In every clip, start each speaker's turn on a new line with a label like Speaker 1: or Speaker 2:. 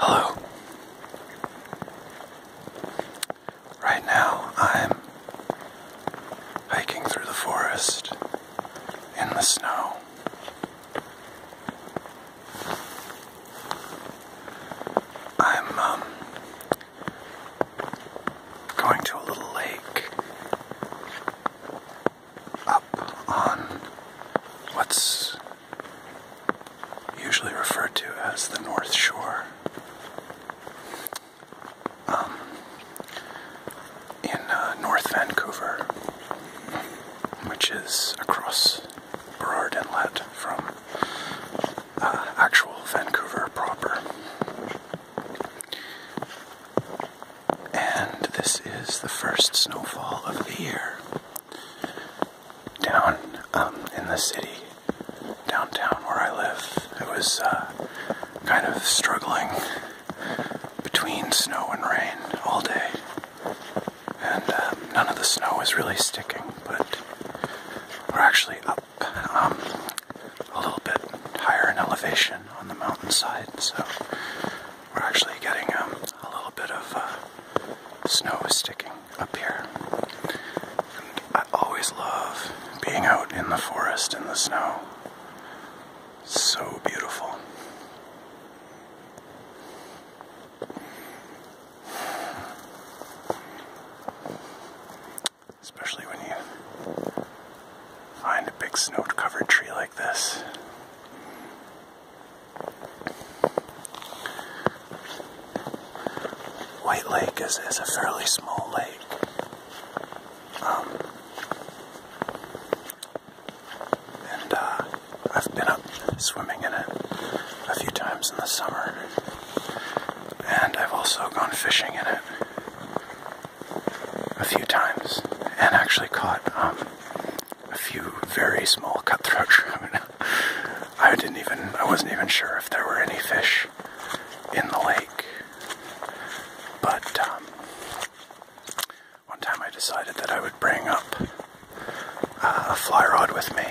Speaker 1: Hello. Right now I'm hiking through the forest in the snow. I'm um, going to a little lake up on what's usually referred to as the North Shore. Um, in uh, North Vancouver, which is across Burrard Inlet from uh, actual Vancouver proper. And this is the first snowfall of the year down um, in the city, downtown where I live. It was uh, kind of struggling between snow and rain all day, and um, none of the snow was really sticking, but we're actually up um, a little bit higher in elevation on the mountainside, so we're actually getting um, a little bit of uh, snow sticking up here. I always love being out in the forest in the snow. So beautiful. Especially when you find a big snow covered tree like this. White Lake is, is a fairly small lake. Um, and uh, I've been up swimming in it a few times in the summer. And I've also gone fishing in it a few times and actually caught um, a few very small cutthroat. I, didn't even, I wasn't even sure if there were any fish in the lake. But um, one time I decided that I would bring up uh, a fly rod with me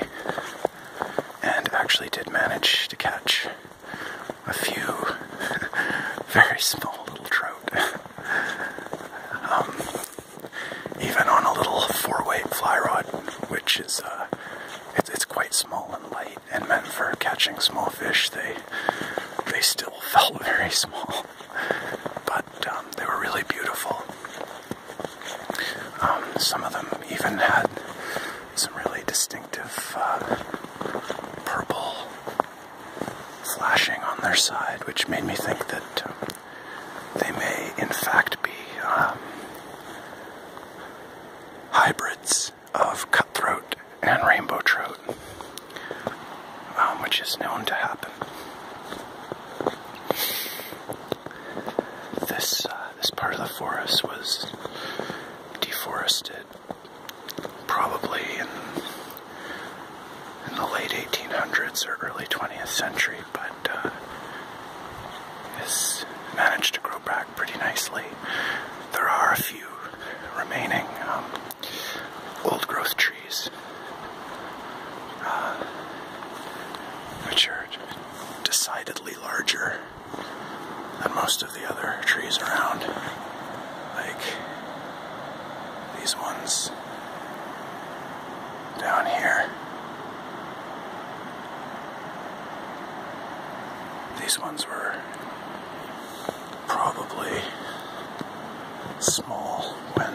Speaker 1: and actually did manage to catch a few very small little trout. Um, even on a little four-way fly rod, which is uh, it's, quite small and light, and meant for catching small fish. They they still felt very small, but um, they were really beautiful. Um, some of them even had some really distinctive uh, purple flashing on their side, which made me think that um, they may, in fact, be um, hybrids of cutthroat and rainbow trout, um, which is known to happen. This uh, this part of the forest was deforested, probably in the late 1800s or early 20th century, but. Uh, has managed to grow back pretty nicely. There are a few remaining um, old growth trees, uh, which are decidedly larger than most of the other trees around. Like these ones down here. These ones were probably small when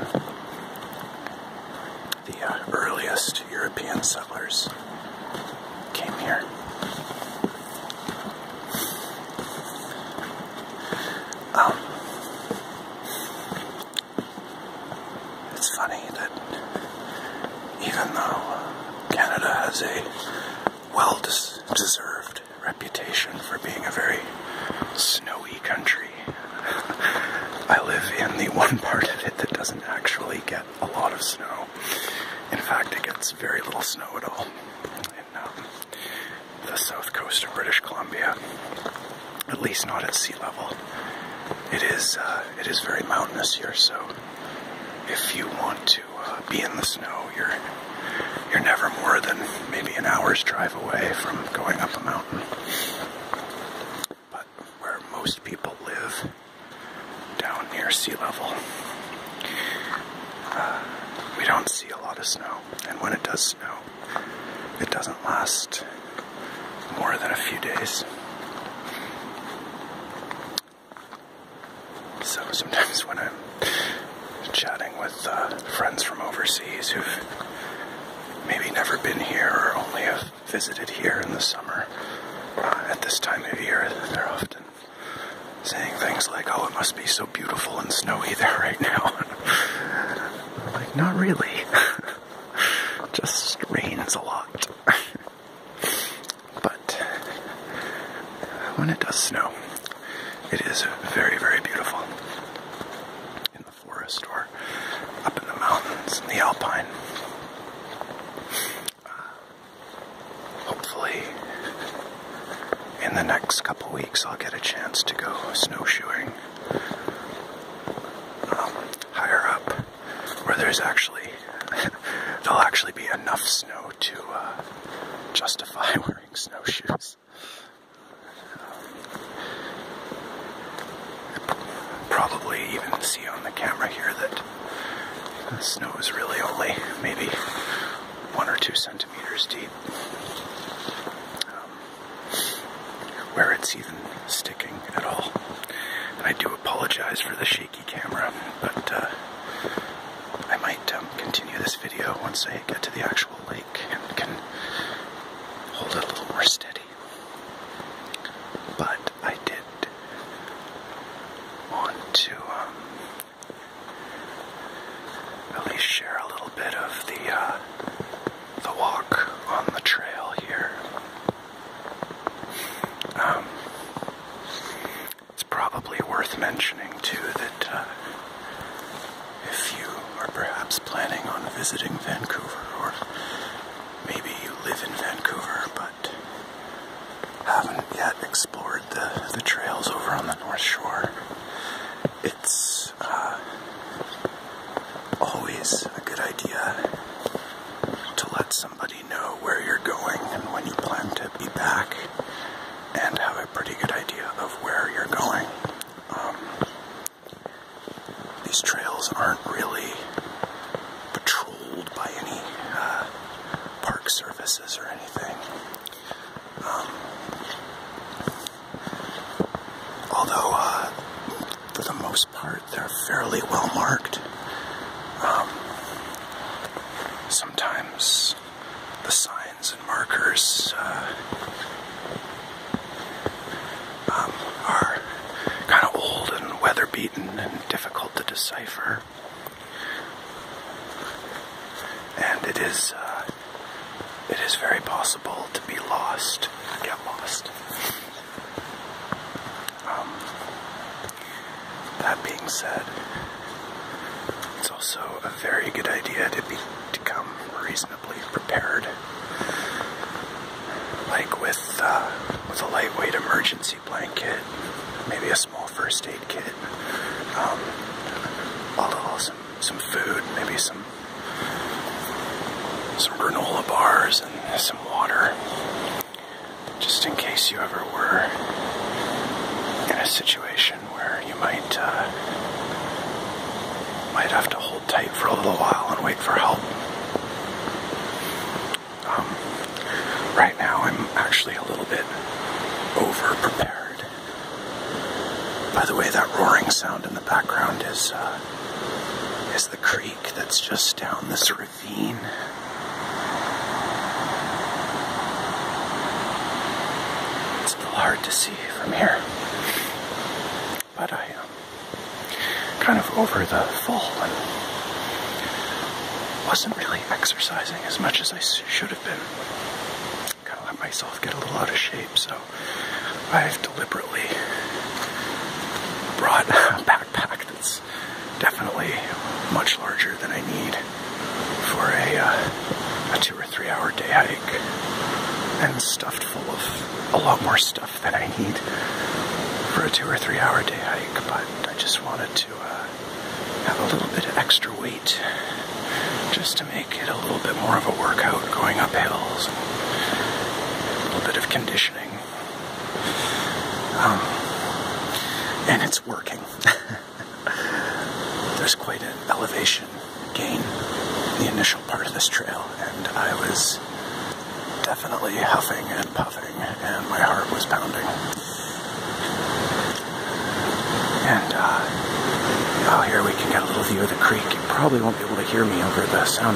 Speaker 1: the uh, earliest European settlers came here. Um, it's funny that even though Canada has a well deserved reputation for being a very snowy country, I live in the one part of it that doesn't actually get a lot of snow. In fact, it gets very little snow at all in um, the south coast of British Columbia at least not at sea level. It is uh, it is very mountainous here, so if you want to uh, be in the snow, you're you're never more than maybe an hour's drive away from going up a mountain. But where most people live, down near sea level, uh, we don't see a lot of snow, and when it does snow, it doesn't last more than a few days. So sometimes when I'm chatting with uh, friends from overseas who've maybe never been here or only have visited here in the summer, uh, at this time of year, they're often saying things like, oh, it must be so beautiful and snowy there right now. like, not really. just rains a lot. but when it does snow, it is very, very beautiful in the forest or up in the mountains in the alpine. Uh, hopefully, in the next couple weeks, I'll get a chance to go snowshoeing um, higher up where there's actually there'll actually be enough snow to uh, justify wearing snowshoes. probably even see on the camera here that the snow is really only maybe one or two centimeters deep. Um, where it's even sticking at all. And I do apologize for the shaky camera, but uh, I might um, continue this video once I get to the actual lake and can hold it a little more steady. But I did want to um, at least share a little bit of the uh, the walk on the trail here um, it's probably worth mentioning too that uh, if you are perhaps planning on visiting Vancouver, or maybe you live in Vancouver but haven't yet explored the, the trails over on the North Shore, it's uh, always a good idea to let somebody know where you're going and when you plan to be back and have a pretty good idea of where you're going. Um, these trails aren't really patrolled by any uh, park services or anything. Um, although, uh, for the most part, they're fairly well marked. Um, sometimes the signs and markers uh, um, are kind of old and weather beaten and difficult to decipher. And it is uh, it is very possible to be lost, get lost. Um, that being said, it's also a very good idea to be to come reasonably prepared, like with uh, with a lightweight emergency blanket, maybe a small first aid kit, um, a little some some food, maybe some some granola bars and some water just in case you ever were in a situation where you might uh, might have to hold tight for a little while and wait for help. Um, right now, I'm actually a little bit over prepared. By the way, that roaring sound in the background is uh, is the creek that's just down this it's a little hard to see from here. But I am um, kind of over the fall and wasn't really exercising as much as I should have been. Kind of let myself get a little out of shape, so I've deliberately brought a backpack definitely much larger than I need for uh, a, two or three hour day hike and stuffed full of a lot more stuff than I need for a two or three hour day hike, but I just wanted to uh, have a little bit of extra weight just to make it a little bit more of a workout going up hills, a little bit of conditioning um, and it's working. There's quite an elevation gain the initial part of this trail, and I was definitely huffing and puffing, and my heart was pounding. And uh, oh, here we can get a little view of the creek. You probably won't be able to hear me over the sound.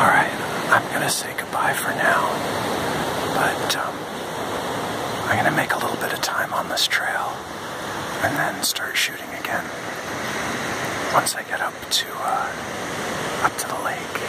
Speaker 1: Alright, I'm going to say goodbye for now. But um, I'm going to make a little bit of time on this trail and then start shooting again once I get up to uh, up to the lake.